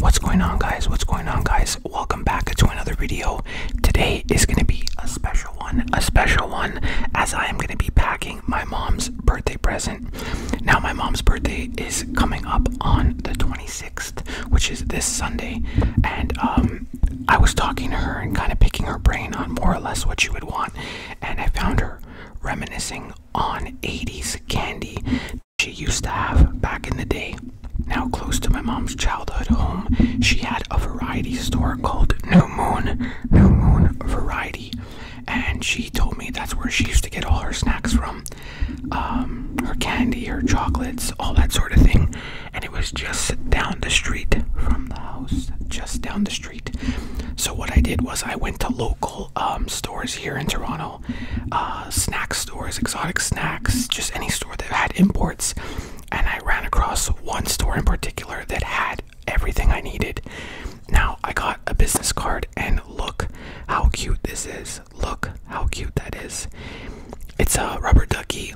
What's going on guys? What's going on guys? Welcome back to another video. Today is going to be a special one, a special one as I am going to be packing my mom's birthday present. Now my mom's birthday is coming up on the 26th which is this Sunday. And um, I was talking to her and kind of picking her brain on more or less what she would want. And I found her reminiscing on 80s candy she used to have back in the day. Now close to my mom's childhood home, she had a variety store called New Moon, New Moon Variety. And she told me that's where she used to get all her snacks from um, her candy, her chocolates, all that sort of thing and it was just down the street from the house, just down the street. So what I did was I went to local um, stores here in Toronto, uh, snack stores, exotic snacks, just any store that had imports, and I ran across one store in particular that had everything I needed. Now I got a business card, and look how cute this is. Look how cute that is. It's a rubber ducky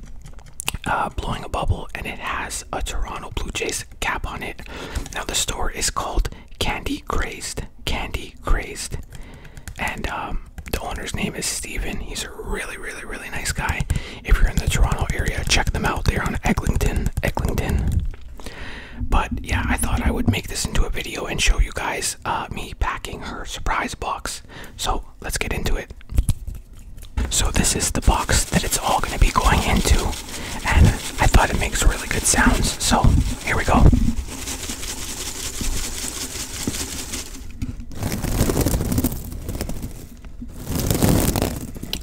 uh, blowing a bubble, and it has a Toronto Blue Jays cap on it. Now, the store is called Candy Crazed. Candy Crazed. And um, the owner's name is Steven. He's a really, really, really nice guy. If you're in the Toronto area, check them out. They're on Eglinton. Eglinton. But yeah, I thought I would make this into a video and show you guys uh, me packing her surprise box. So let's get into it. So this is the box that it's all going to be going into, and I thought it makes really good sounds. So here we go.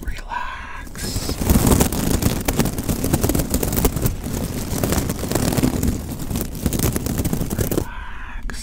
Relax. Relax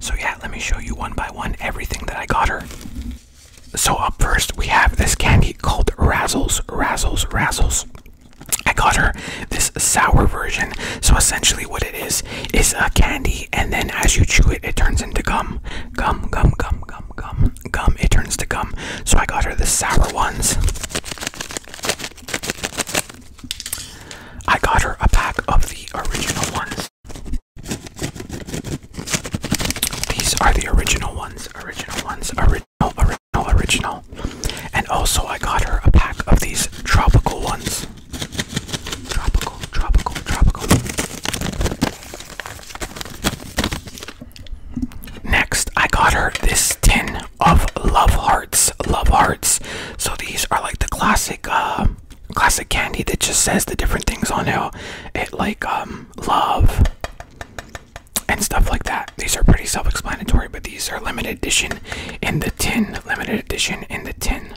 So, yeah, let me show you one by one everything that I got her. So, up first, we have this candy called Razzles, Razzles, Razzles. I got her this sour version. So essentially, what it is is a candy, and then as you chew it, it turns into gum, gum, gum, gum, gum, gum, gum. It turns to gum. So I got her the sour ones. I got her a pack of the original ones. These are the original ones, original ones, original, original, original. And also, I got her a pack of these tropical ones. Tropical, tropical, tropical. Next, I got her this tin of love hearts. Love hearts. So these are like the classic, uh, classic candy that just says the different things on it. It like um love and stuff like that. These are pretty self-explanatory, but these are limited edition in the tin, limited edition in the tin.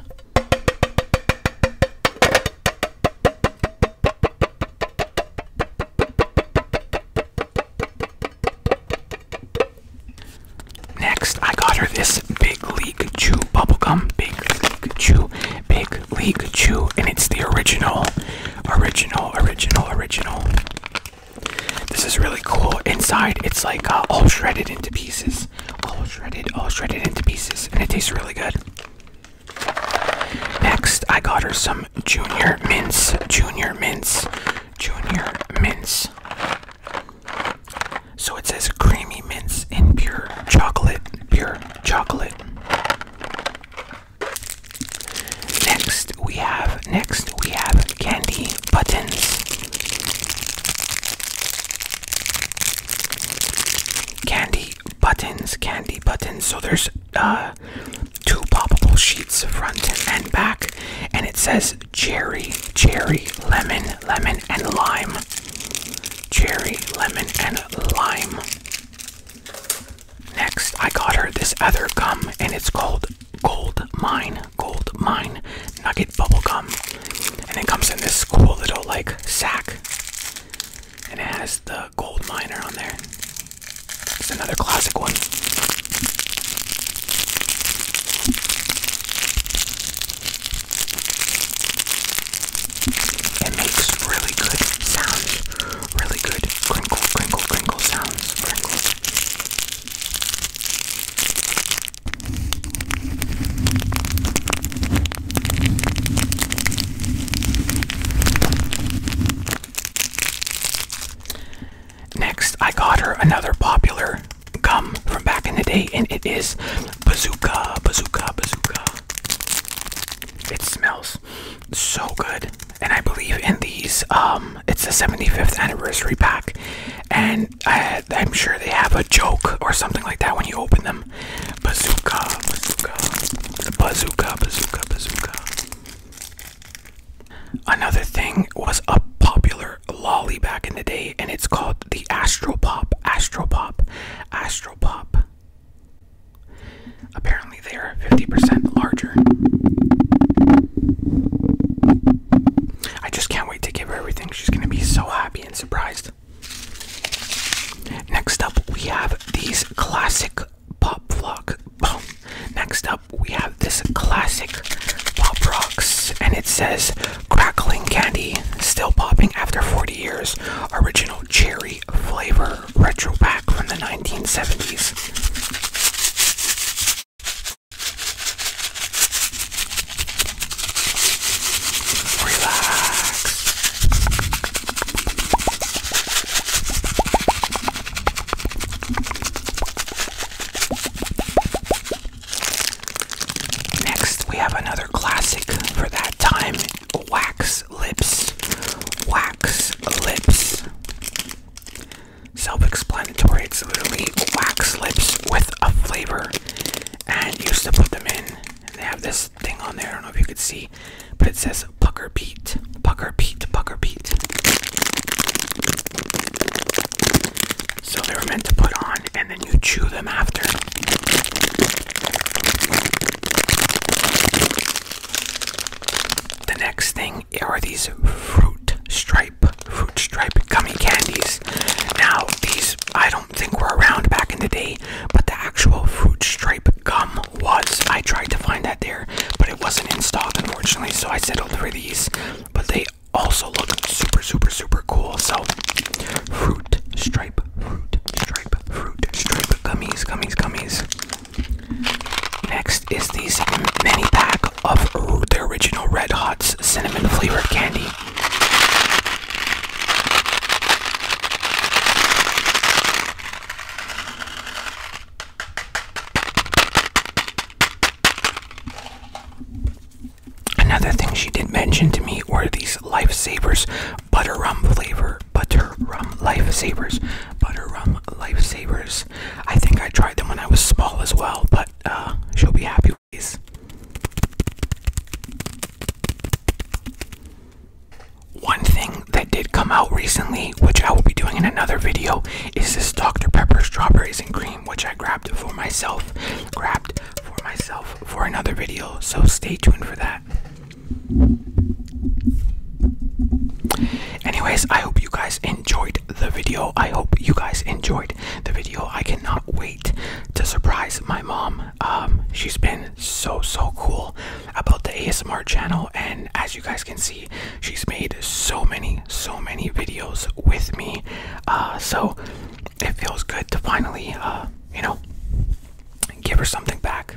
Next, I got her this Big League Chew bubble gum. Big League Chew, Big League Chew, and it's the original, original, original, original. This is really cool. Inside, it's like uh, all shredded into pieces. All shredded, all shredded into pieces. And it tastes really good. Next, I got her some Junior Mints. Junior Mints. Junior Mints. So it says creamy mints in pure chocolate. Pure chocolate. Next, we have, next, we have candy buttons. Candy buttons, candy buttons. So there's uh, two popable sheets, front and back, and it says cherry, cherry, lemon, lemon, and lime. Cherry, lemon, and lime. Next, I got her this other gum, and it's called gold mine, gold mine, nugget bubblegum. And it comes in this cool little like sack. And it has the gold miner on there. It's another classic one. It makes really good sounds. Really good crinkle, crinkle, crinkle sounds. Crinkle, Next, I got her another popular gum from back in the day, and it is Bazooka, Bazooka, Bazooka. It smells so good and I believe in these. Um, it's the 75th anniversary pack, and I, I'm sure they have a joke or something like that when you open them. Bazooka, bazooka, bazooka, bazooka, bazooka. Another thing was a popular lolly back in the day, and it's called the Astro Pop. Astro Pop. Astro Pop. Apparently they are 50% larger. I just can't wait to give her everything. She's going to be so happy and surprised. Next up, we have these classic pop rock. Next up, we have this classic pop rocks, and it says crackling candy, still popping after 40 years, original cherry flavor retro pack from the 1970s. Relax. Next, we have another classic for that time wax lips. Wax lips. Self-explanatory. It's literally wax lips with a flavor, and used to put them in. And they have this thing on there. I don't know if you could see, but it says Pucker Pete, Pucker Pete, Pucker Pete. So they were meant to put on, and then you chew them after. The next thing are these fruit stripe, fruit stripe gummy candies. Now, these I don't think were around back in the day, but the actual fruit stripe gum was. I tried to find that there, but it wasn't in stock, unfortunately, so I settled for these. But they also look super, super, super cool. So, fruit stripe, fruit stripe, fruit stripe gummies, gummies, gummies. Next is these mini pack of their original Red Hot's cinnamon flavored candy. Another thing she did mention to me were these lifesavers butter rum flavor butter rum lifesavers butter rum them lifesavers. I think I tried them when I was small as well, but uh, she'll be happy with these. One thing that did come out recently, which I will be doing in another video, is this Dr. Pepper Strawberries and Cream, which I grabbed for myself, grabbed for myself for another video, so stay tuned for that. Anyways, I hope you guys enjoyed the video. I hope you guys enjoyed the video. I cannot wait to surprise my mom. Um, she's been so so cool about the ASMR channel, and as you guys can see, she's made so many so many videos with me. Uh, so it feels good to finally, uh, you know, give her something back.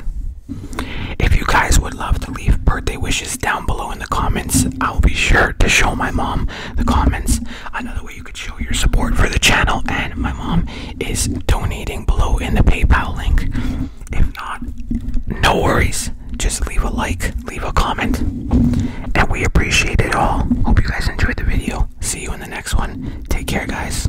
If you guys would love to leave birthday wishes down below in the comments, I'll be sure to show my mom the comments. Another way you could show your support for the channel and my mom is donating below in the PayPal link. If not, no worries. Just leave a like, leave a comment, and we appreciate it all. Hope you guys enjoyed the video. See you in the next one. Take care, guys.